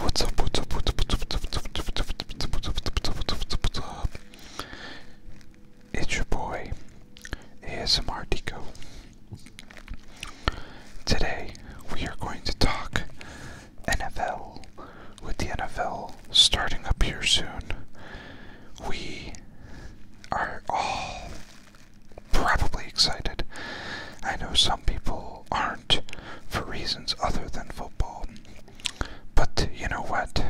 What's up, what's up, what's up, what's up, what's up, what's up, what's up, It's your boy, ASMR Deco. Today, we are going to talk NFL, with the NFL starting up here soon. We are all probably excited. I know some people aren't for reasons other than football. But you know what?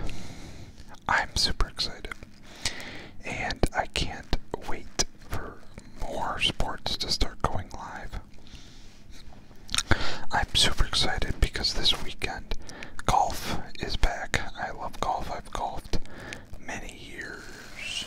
I'm super excited. And I can't wait for more sports to start going live. I'm super excited because this weekend golf is back. I love golf. I've golfed many years.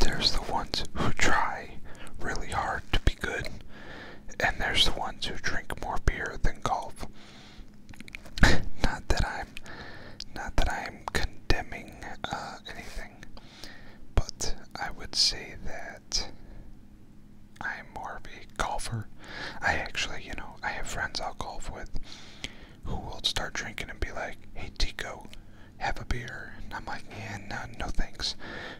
There's the ones who try really hard to be good, and there's the ones who drink more beer than golf. not that I'm, not that I'm condemning uh, anything, but I would say that I'm more of a golfer. I actually, you know, I have friends I'll golf with who will start drinking and be like, "Hey Tico, have a beer. And I'm like, yeah, no, thanks.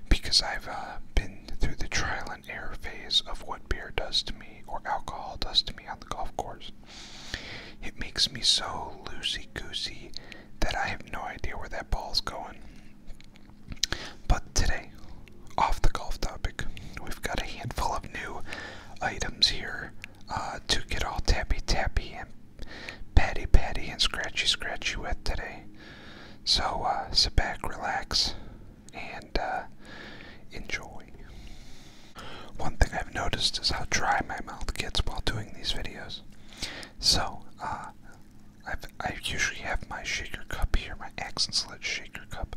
Because I've uh, been through the trial and error phase of what beer does to me or alcohol does to me on the golf course. It makes me so loosey goosey that I have no idea where that ball's going. But today, off the golf topic, we've got a handful of new items here uh, to get all tappy tappy and patty patty and scratchy scratchy with today. So uh, sit back, relax, and uh, enjoy. One thing I've noticed is how dry my mouth gets while doing these videos. So, uh, i I usually have my shaker cup here, my accent slit shaker cup.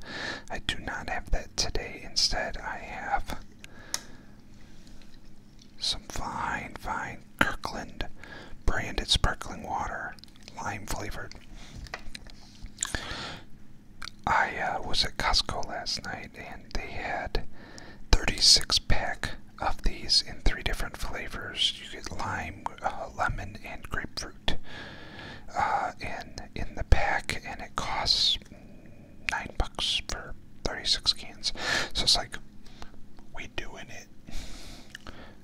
I do not have that today. Instead, I have some fine, fine Kirkland branded sparkling water, lime flavored. I uh, was at Costco last night and they had 36 pack of these in three different flavors. You get lime, uh, lemon, and grapefruit uh, in in the pack, and it costs nine bucks for 36 cans. So it's like we doing it.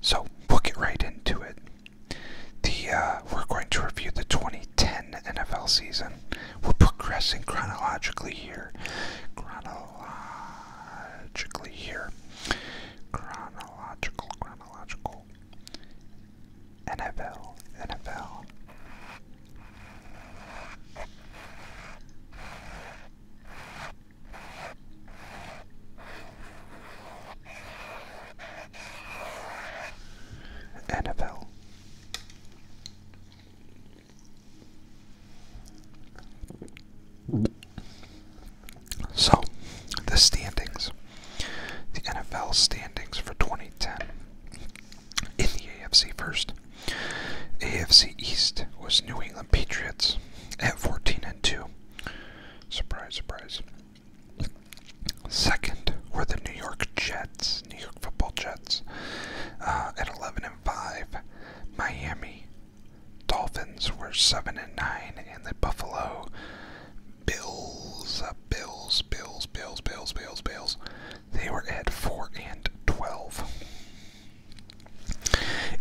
So we'll get right into it. Uh, we're going to review the 2010 NFL season. We're progressing chronologically here. Chronologically here. Chronological, chronological. NFL, NFL. Annabelle. So, the standings. The NFL standings for 2010. In the AFC first. AFC East was New England Patriots Cardinals at 14 and 2. Surprise, surprise. Second were the New York Jets, New York Football Jets, uh, at 11 and 5. Miami Dolphins were 7 and 9, and the Buffalo Bills, uh, Bills, Bills, Bills, Bills, Bills, Bills, they were at 4 and 12.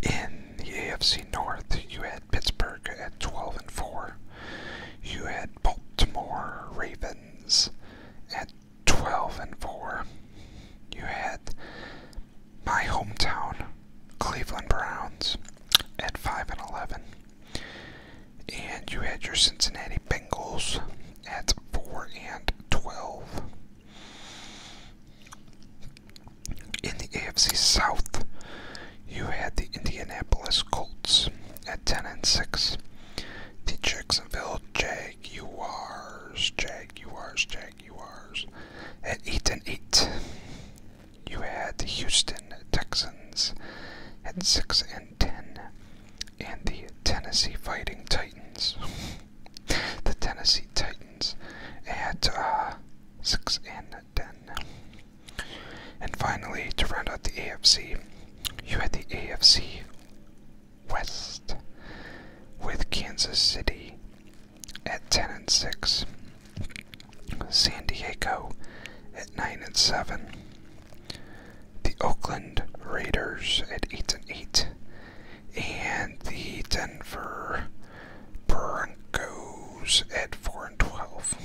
In the AFC North, you had Pittsburgh at 12 and 4. You had Baltimore Ravens at 12 and 4. You had my hometown Cleveland Browns at 5 and 11. And you had your Cincinnati Bengals at 4 and 12. In the AFC South, you had the Indianapolis Colts at 10 and 6, the Jacksonville Jaguars, Jaguars, Jaguars at 8 and 8. You had the Houston Texans at 6 and 10, and the Tennessee Fighting Titans. the Tennessee Titans at uh, 6 and 10. And finally, to round out the AFC, you had the AFC West with Kansas City at 10 and 6, San Diego at 9 and 7, the Oakland Raiders at 8 and 8, and the Denver Broncos at 4 and 12.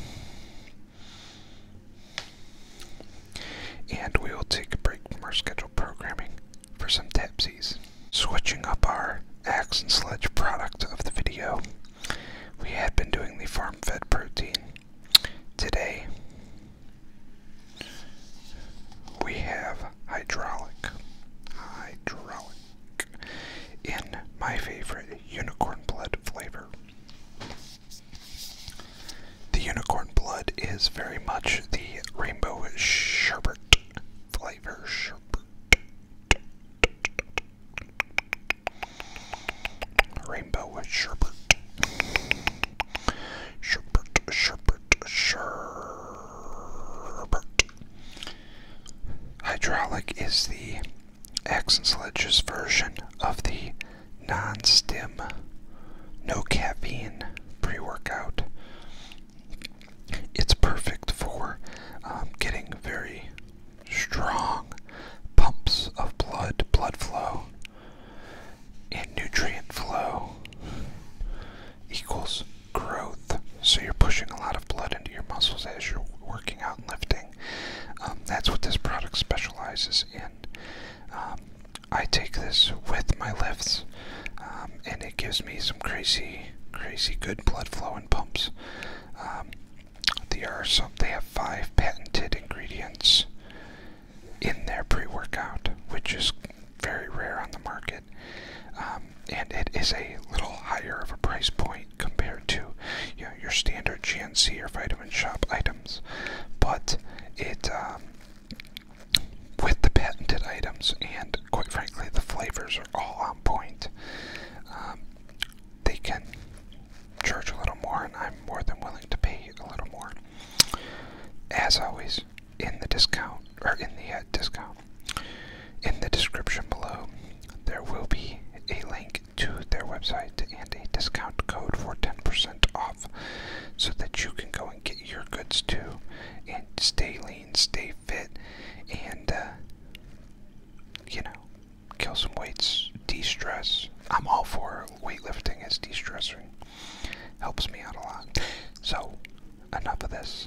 And we will take a break from our scheduled programming for some Tapsies. Switching up our axe and sledge product of the video, we have been doing the farm fed protein. Today, we have hydraulic. Hydraulic in my favorite unicorn blood flavor. The unicorn blood is very much the rainbow sherbet flavor. Sherbet. Rainbow sherbet. Sherbet, sherbet, sherbet. Hydraulic is the X and sledges version of the non stim, no caffeine pre workout. It's perfect for um, getting very strong pumps of blood, blood flow, and nutrient flow equals growth. So you're pushing a lot of blood into your muscles as you're working out and lifting. Um, that's what this product specializes in. Um, I take this with my lifts, um, and it gives me some crazy, crazy good blood flow and pumps. Um, are some. They have five patented ingredients in their pre-workout, which is very rare on the market. Um, and it is a little higher of a price point compared to your standard GNC or Vitamin Shop items, but it um, with the patented items and quite frankly the flavors are all on point. Um, they can charge a little more, and I'm more than willing to pay a little more. As always, in the discount or in the uh, discount in the description below, there will be a link to their website and a discount code for 10% off so that you can go and get your goods too and stay lean, stay fit, and uh, you know, kill some weights, de stress. I'm all for weightlifting as de stressing, helps me out a lot. So, enough of this.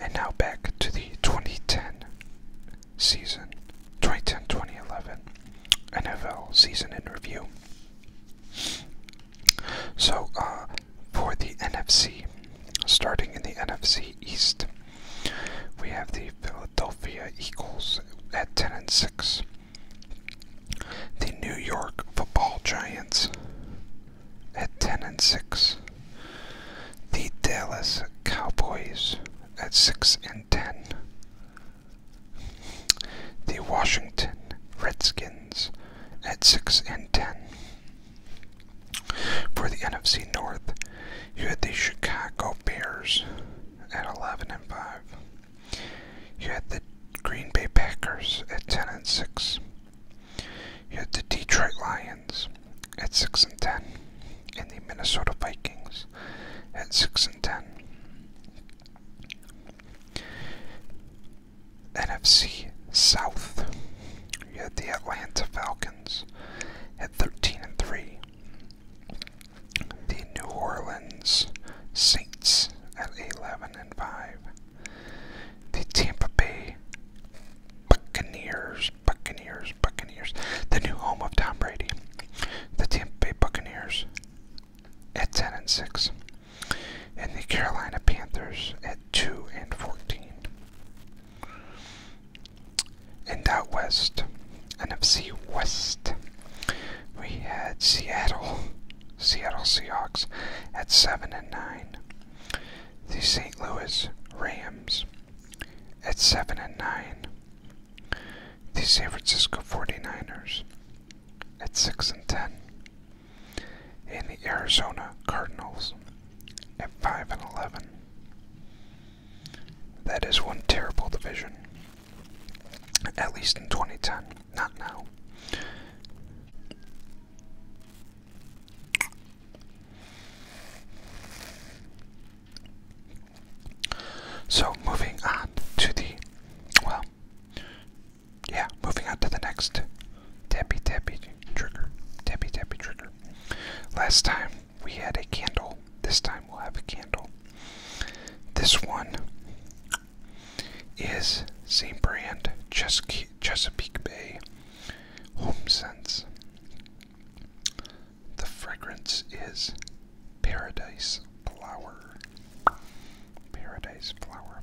And now back to the 2010 season, 2010 2011 NFL season in review. So, uh, for the NFC, starting in the NFC East, we have the Philadelphia Eagles at 10 and 6. The New York Football Giants at 10 and 6. The Dallas Cowboys at 6 and 10. The Washington Redskins at 6 and 10. For the NFC North, you had the Chicago Bears at 11 and 5. You had the Green Bay Packers at 10 and 6. You had the Detroit Lions at 6 and 10 and the Minnesota Vikings at 6 and 10. NFC South. You had the Atlanta Falcons at 13 and 3 the New Orleans Saints at 11 and 5, the Tampa Bay Buccaneers, Buccaneers, Buccaneers, the new home of Tom Brady, the Tampa Bay Buccaneers at 10 and 6, and the Carolina Panthers at 2 and 14. And out west, NFC West, we had Seattle, Seattle Seahawks at 7 and 9. The St. Louis Rams at 7 and 9. The San Francisco 49ers at 6 and 10. And the Arizona Cardinals at 5 and 11. That is one terrible division. At least in 2010, not now. So, moving on to the, well, yeah, moving on to the next tappy tappy trigger. Tappy tappy trigger. Last time we had a candle. This time we'll have a candle. This one is same brand, Ches Chesapeake Bay Home Sense. The fragrance is Paradise Flower. Paradise Flower.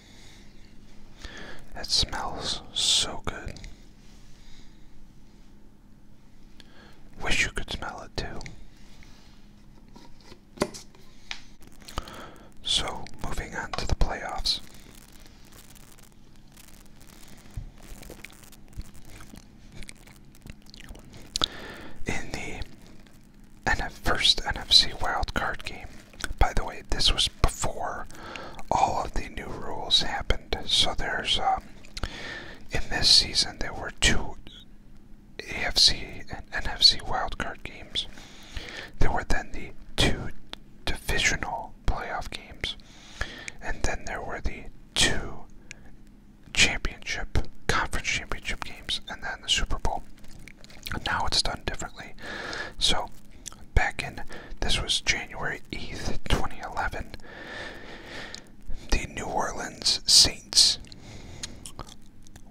It smells so good. Wish you could smell it too. So, moving on to the playoffs. In the first NFC wildcard game, by the way, this was before all of the new rules happened. So there's um, in this season there were two AFC and NFC wildcard games. There were then the two divisional playoff games, and then there were the two championship conference championship games, and then the Super Bowl. Now it's done differently. So, back in this was January 8th, 2011, the New Orleans Saints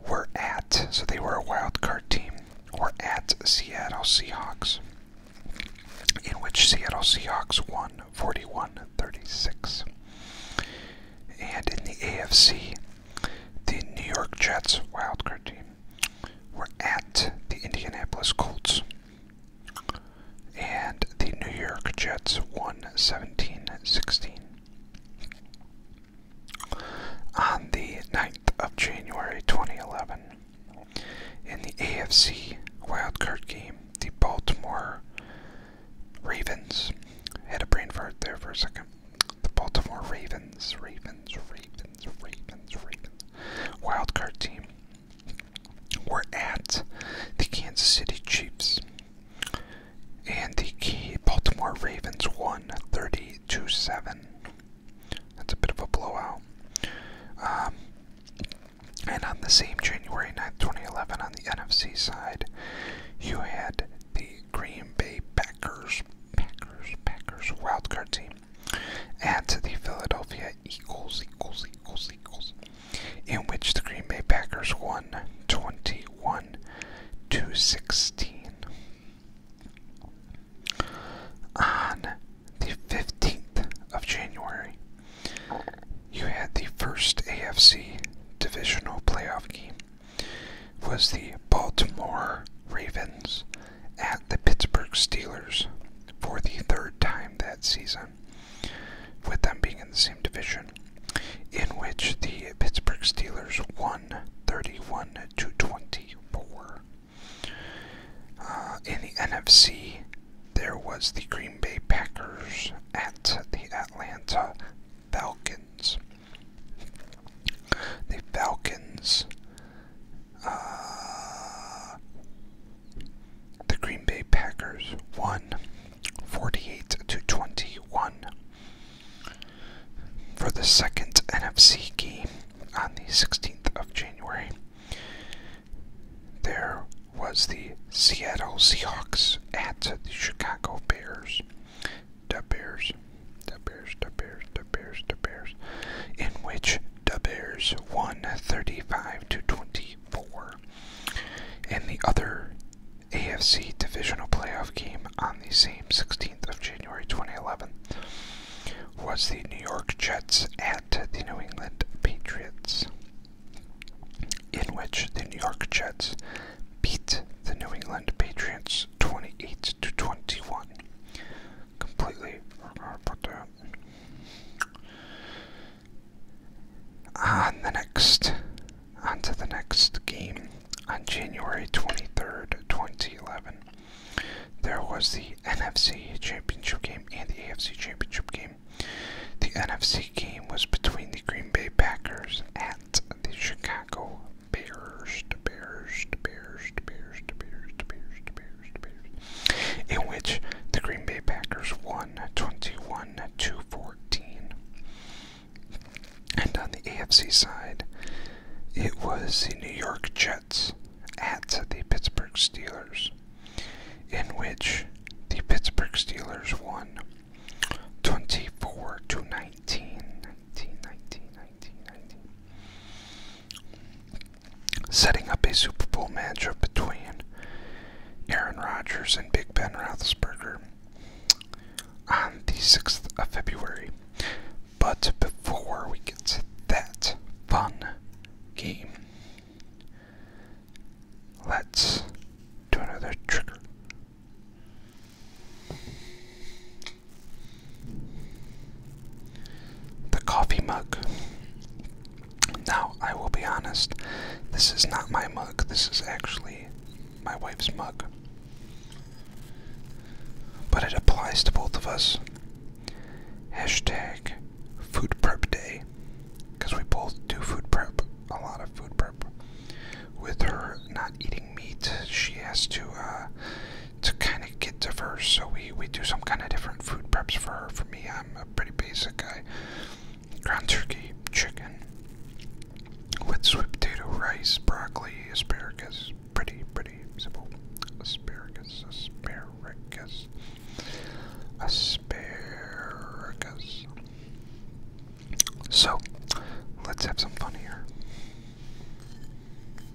were at, so they were a wild card team, were at Seattle Seahawks, in which Seattle Seahawks won 41 36. And in the AFC, the New York Jets wild card team we're at the Indianapolis Colts. And the New York Jets won 17 16. On the 9th of January 2011, in the AFC Wild Card game, the Baltimore Ravens had a brain fart there for a second. The Baltimore Ravens. Ravens, Ravens, Ravens, Ravens. Wildcard team. We're at the Kansas City Chiefs. And the key Baltimore Ravens won 30 7. That's a bit of a blowout. Um, and on the same January 9th, 2011, on the NFC side, you had the Green Bay Packers, Packers, Packers wildcard team Add to the Philadelphia equals equals equals equals, in which the Green Bay Packers won 21 to 16. On the 15th of January, you had the first AFC divisional playoff game. Was the Baltimore Ravens at the Pittsburgh Steelers for the third time that season, with them being in the same division, in which the Pittsburgh Steelers won 31 to 24. Uh, in the NFC, there was the Green Bay Packers at the Atlanta Falcons. The Falcons uh, the Green Bay Packers won 48 to 21 for the second NFC game on the 16th of January. There was the Seattle Seahawks at the Chicago Bears. The Bears, the Bears, the Bears, the Bears, in which the Bears won 35 to 24. and the other AFC divisional playoff game on the same 16th of January 2011 was the New York Jets at the New England Patriots, in which the New York Jets beat the New England Patriots 28 to 21 completely forgot about that. On the next, on to the next game, on January 23rd, 2011, there was the NFC Championship game and the AFC Championship game. The NFC game was between the Green Bay Packers and the Chicago Bears. The Bears, Bears, Bears, Bears, Bears, Bears in which the Green Bay Packers won 21 to 14. And on the AFC side, it was the New York Jets at the Pittsburgh Steelers, in which the Pittsburgh Steelers won 24 to 19. Setting up a Super Bowl matchup between Aaron Rodgers and Big Ben Roethlisberger on the 6th of February. But before we get to that fun game, let's do another trick. The coffee mug. Now, I will be honest, this is not my mug, this is actually my wife's mug. But it applies to both of us. Hashtag food prep day. Because we both do food prep, a lot of food prep. With her not eating meat, she has to uh, to kind of get diverse. So we we do some kind of different food preps for her. For me, I'm a pretty basic guy. Ground turkey, chicken with sweet potato, rice, broccoli, asparagus. Pretty pretty simple. Asparagus, asparagus, asparagus. So, let's have some fun here.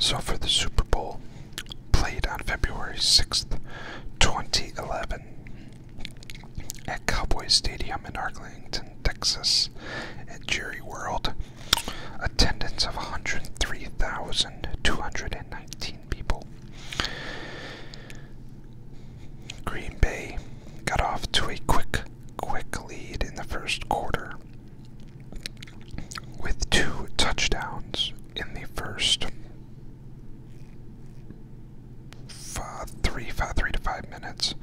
So, for the Super Bowl, played on February 6th, 2011, at Cowboys Stadium in Arlington, Texas, at Jerry World. Attendance of 103,219 people. Green Bay got off to a quick, quick lead in the first quarter with two touchdowns in the first five, three, five, three to five minutes.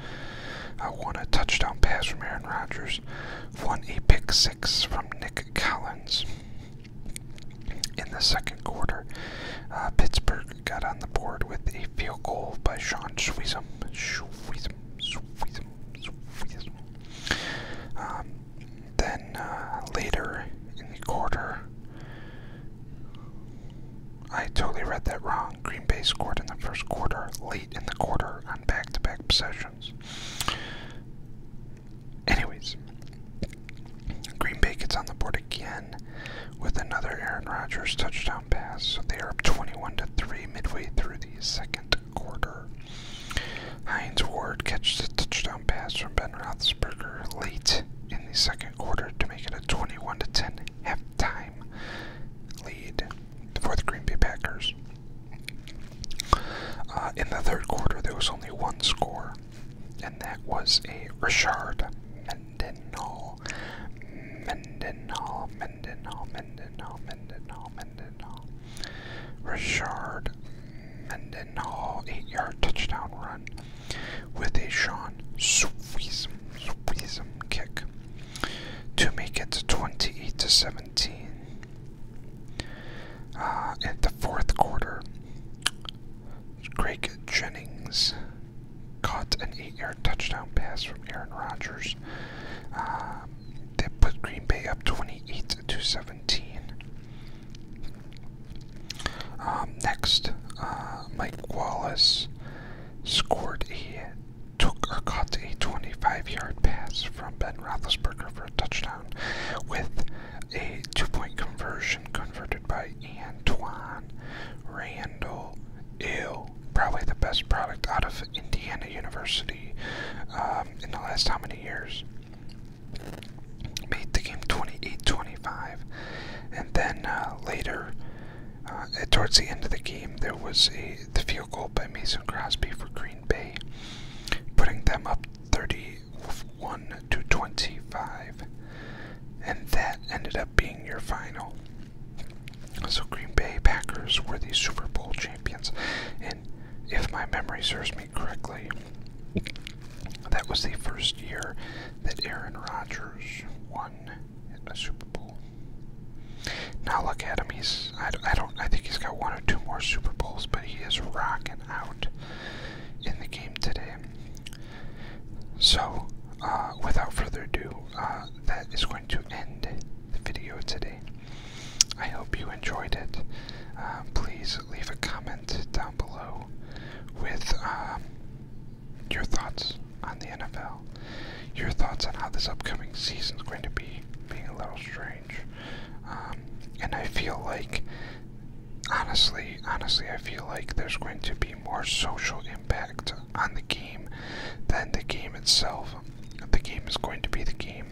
I one a touchdown pass from Aaron Rodgers, one a pick six from Nick Collins. In the second quarter, uh, Pittsburgh got on the board with a field goal by Sean Sweezum. Then uh, later in the quarter, I totally read that wrong. Green Bay scored in the first quarter, late in the quarter, on back to back possessions. Anyways, Green Bay gets on the board again with another Aaron Rodgers touchdown pass. So they are up 21 to 3 midway through the second quarter. Hines Ward catches a touchdown pass from Ben Roethlisberger late in the second quarter to make it a 21-10 halftime lead for the Green Bay Packers. Uh, in the third quarter, there was only one score, and that was a Richard Mendenhall. Mendenhall, Mendenhall, Mendenhall, Mendenhall, Mendenhall. Richard Menden Hall oh, eight yard touchdown run with a Sean Sweezum Sweezum kick to make it 28 to 17. Uh, in the fourth quarter, Greg Jennings caught an eight-yard touchdown pass from Aaron Rodgers. Uh, that put Green Bay up 28 to 17. Um, next, uh, Mike Wallace scored a took or caught a 25-yard pass from Ben Roethlisberger for a touchdown, with a two-point conversion converted by Antoine Randall. probably the best product out of Indiana University um, in the last how many years? made the game 28-25. And then uh, later, uh, towards the end of the game, there was a the field goal by Mason Crosby for Green Bay, putting them up 31 to 25, and that ended up being your final. So Green Bay Packers were the Super Bowl champions, and if my memory serves me correctly, that was the first year that Aaron Rodgers won a Super Bowl. Now look at him. He's I, don't I think he's got one or two more Super Bowls, but he is rocking out in the game today. So, uh, without further ado, uh, that is going to end the video today. I hope you enjoyed it. Uh, please leave a comment down below with um, your thoughts on the NFL, your thoughts on how this upcoming season is going to be, being a little strange. Um, and I feel like, honestly, honestly, I feel like there's going to be more social impact on the game than the game itself. The game is going to be the game.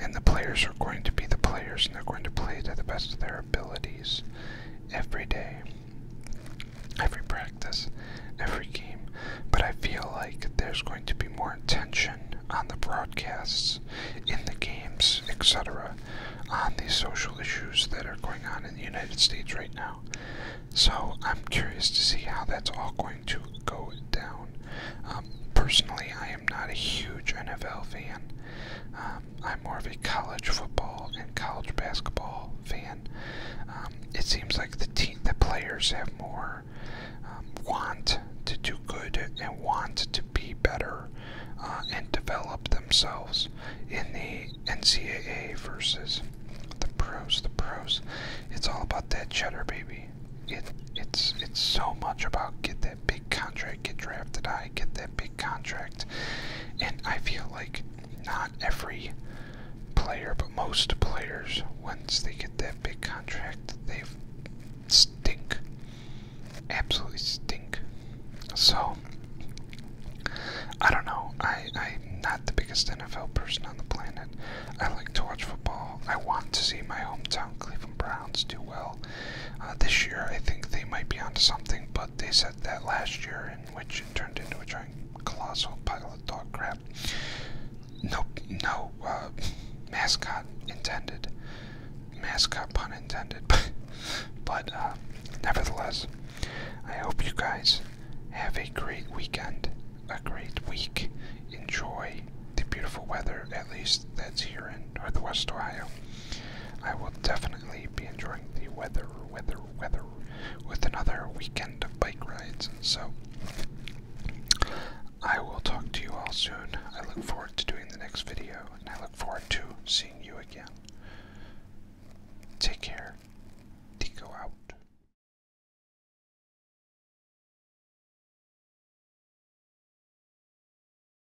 And the players are going to be the players, and they're going to play to the best of their abilities every day, every practice, every game. But I feel like there's going to be more attention on the broadcasts, in the games, etc., on these social issues that are going on in the United States right now. So I'm curious to see how that's all going to go down. Um, personally, I I am not a huge NFL fan. Um, I'm more of a college football and college basketball fan. Um, it seems like the team, the players have more um, want to do good and want to be better uh, and develop themselves in the NCAA versus the pros. The pros, it's all about that cheddar, baby. It, it's it's so much about get that big contract, get drafted high, get that big contract. And I feel like not every player, but most players, once they get that big contract, they stink. Absolutely stink. So, I don't know. I, I'm not the biggest NFL person on the planet. I like to watch football. I want to see my hometown Cleveland Browns do well. Uh, this year, I think they might be onto something, but they said that last year, in which it turned into a giant colossal pile of dog crap. Nope, no uh, mascot intended. Mascot pun intended. but uh, nevertheless, I hope you guys have a great weekend, a great week. Enjoy the beautiful weather, at least that's here in Northwest Ohio. I will definitely be enjoying the weather, weather, weather with another weekend of bike rides. So I will talk to you all soon. I look forward to doing the next video, and I look forward to seeing you again. Take care. Tico out.